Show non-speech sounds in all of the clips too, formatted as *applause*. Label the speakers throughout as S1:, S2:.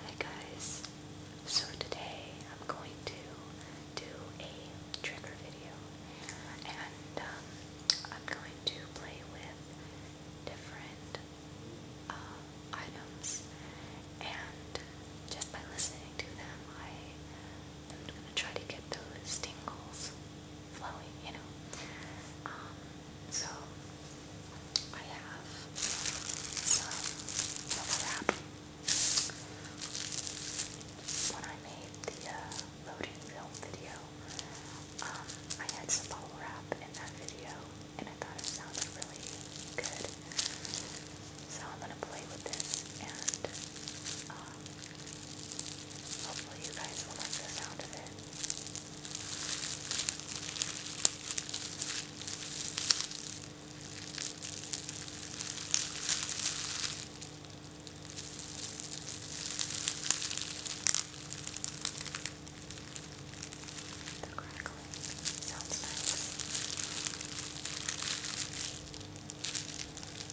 S1: Hi guys, so today I'm going to
S2: do a trigger video and um, I'm going to play with different uh, items and just by listening to them I am going to try to get those tingles flowy, you know. Um, so I have some bubble wrap.
S3: When I made the uh, loading film video, um, I had some bubble wrap in that video, and I thought it sounded really good. So I'm gonna play with this and uh, Hopefully, you guys will like the sound of it. The crackling sounds nice.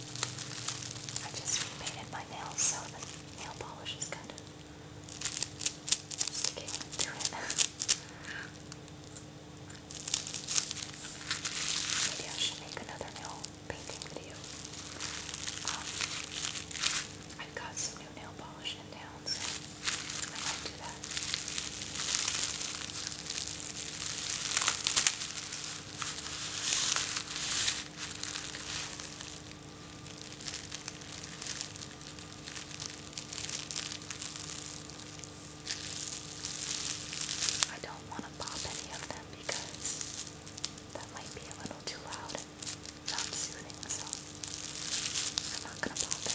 S4: I just repainted my nails so the nail polish is kind of sticking to it. *laughs* Maybe I should make another nail painting video. Um, I've got some new nail polish in town, so I might do that. I don't want to pop any of them because that might be a little too loud not soothing, so I'm not going to pop it.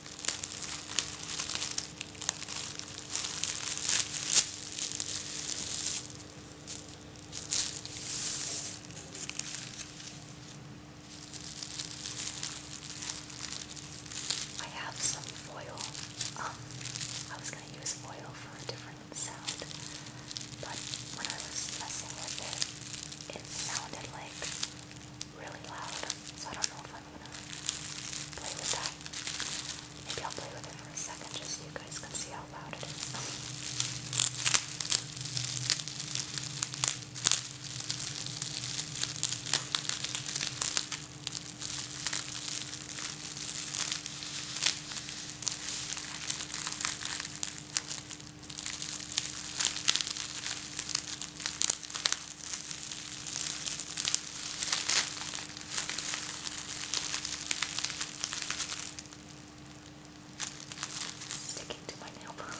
S1: I have some foil. Um, I was going to use foil for a different sound, but when I was messing with it, it sounded like really loud, so I don't know if I'm gonna play with that. Maybe I'll play with it for a second just you guys can see how loud it is. Sticking to my nail polish.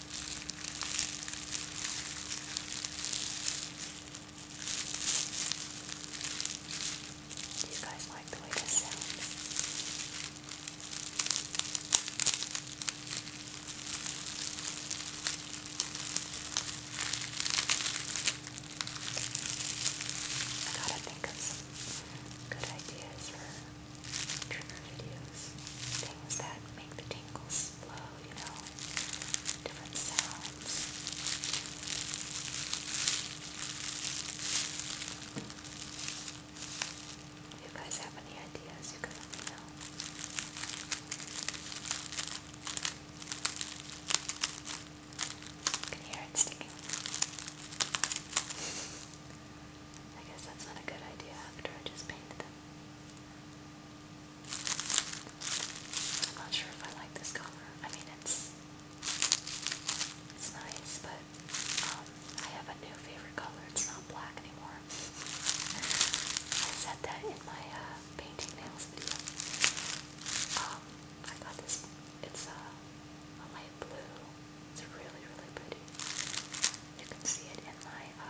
S2: Do you guys like the way this sounds? I gotta think of some good ideas for trigger videos, things that make the tingles flow, you know, different sounds. you guys have any ideas, you can let me know. You can hear it sticking. I guess that's not a good idea after I just painted them. I'm not sure if I like this color. I mean, it's it's nice, but um, I have a new favorite color. It's not black anymore. I said that in my uh, painting nails video. Um, I got this. It's uh, a light blue it's really, really pretty. You can see it in my uh,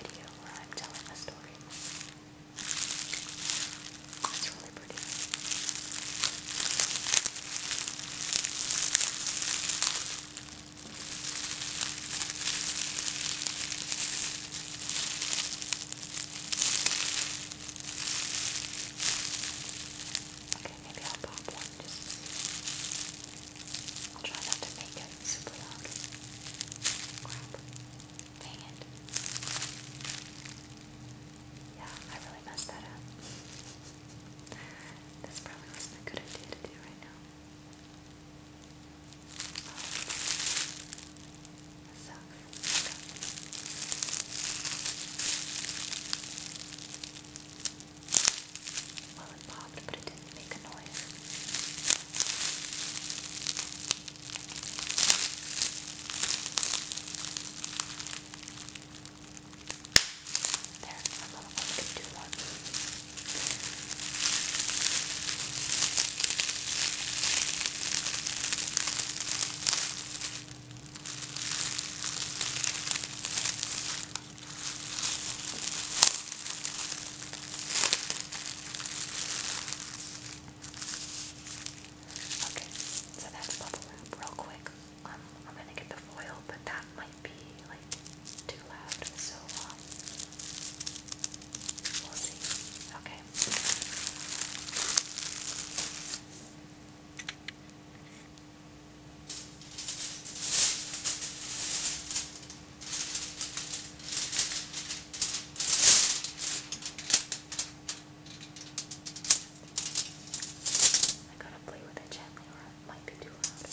S2: video where I'm telling a story. It's really pretty. Okay, maybe I'll pop one just I'll try not to make it super loud. Crap. Dang it. Yeah, I really messed that up. *laughs* This probably wasn't a good idea to do right now.
S3: Oh, sucks. Well, it popped, but it didn't make a noise. There, I'm not going to do one. Okay, so that's bubble wrap real quick. Um, I'm gonna get the foil, but that might be like too loud, so um, we'll see. Okay. I gotta play with it gently or it might be too loud. Okay,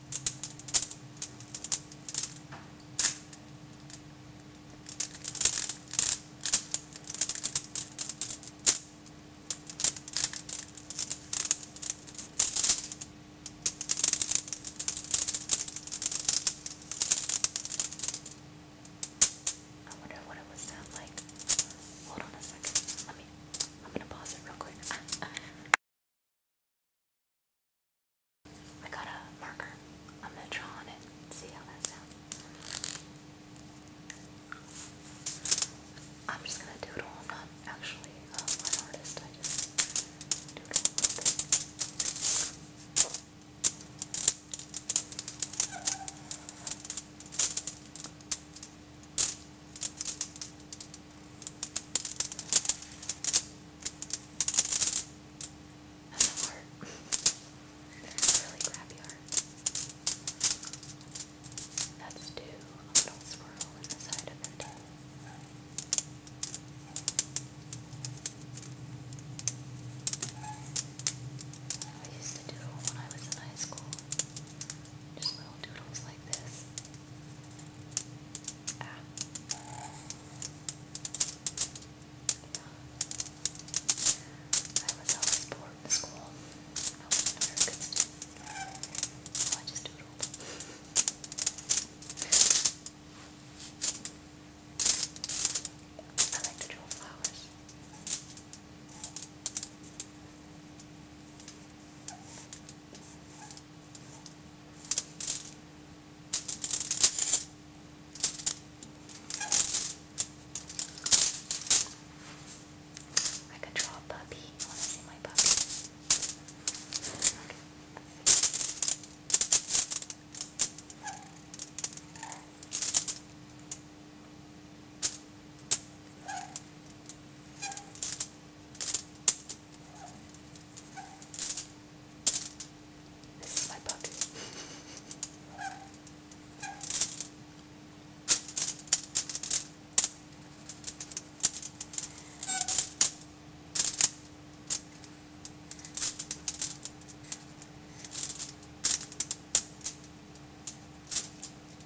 S3: I wonder what it would sound like. Hold on a second. Let me. I'm gonna pause it real quick. *laughs* I got a marker. I'm gonna draw on it. See how that sounds. I'm just gonna do I'm not actually an uh, artist. I just do and the heart. *laughs* really crappy heart. That's two. little swirl in the side of it. I used to do when I was in high school. Just little doodles like this. Ah.
S5: I was always bored in school. I wasn't good student. So I just doodled. I like to draw I could draw a puppy. I want to see my puppy. Okay. Okay. This is my book.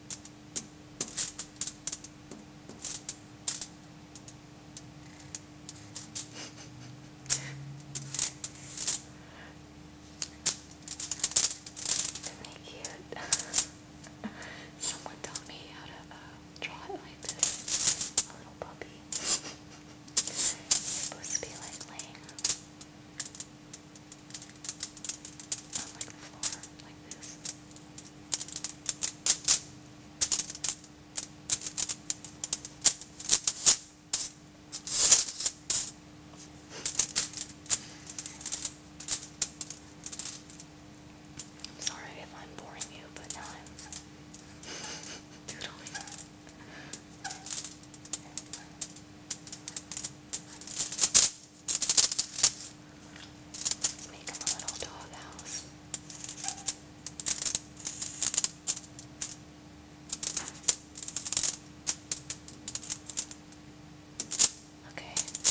S5: cute. Someone taught me how to uh, draw it like this. A little puppy. it's supposed to be like laying not I'm sorry if I'm boring you, but now I'm *laughs* doodling. Make him a little doghouse. Okay. Remember,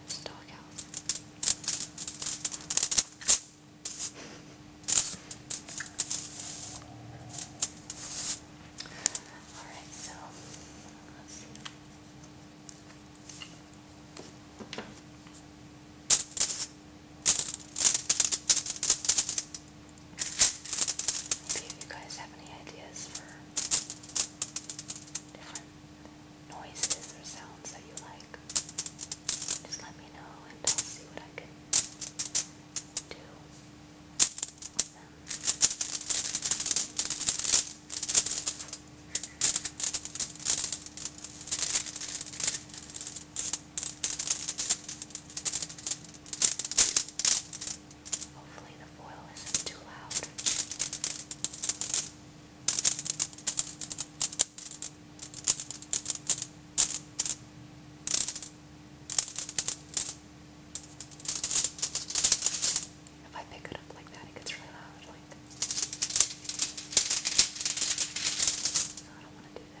S5: this is doghouse. Alright, so let's see. Maybe you guys have any ideas for different noises or sounds that you like, just let me know and I'll see what I can do with them. Hopefully the foil isn't too loud. If I pick it up like that, it gets really loud. Like, so I don't want to do that. I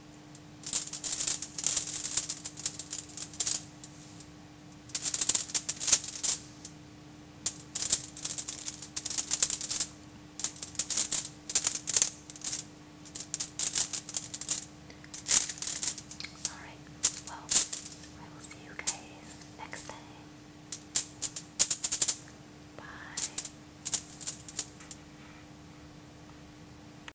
S5: Alright, well, I will see you guys next time. Bye.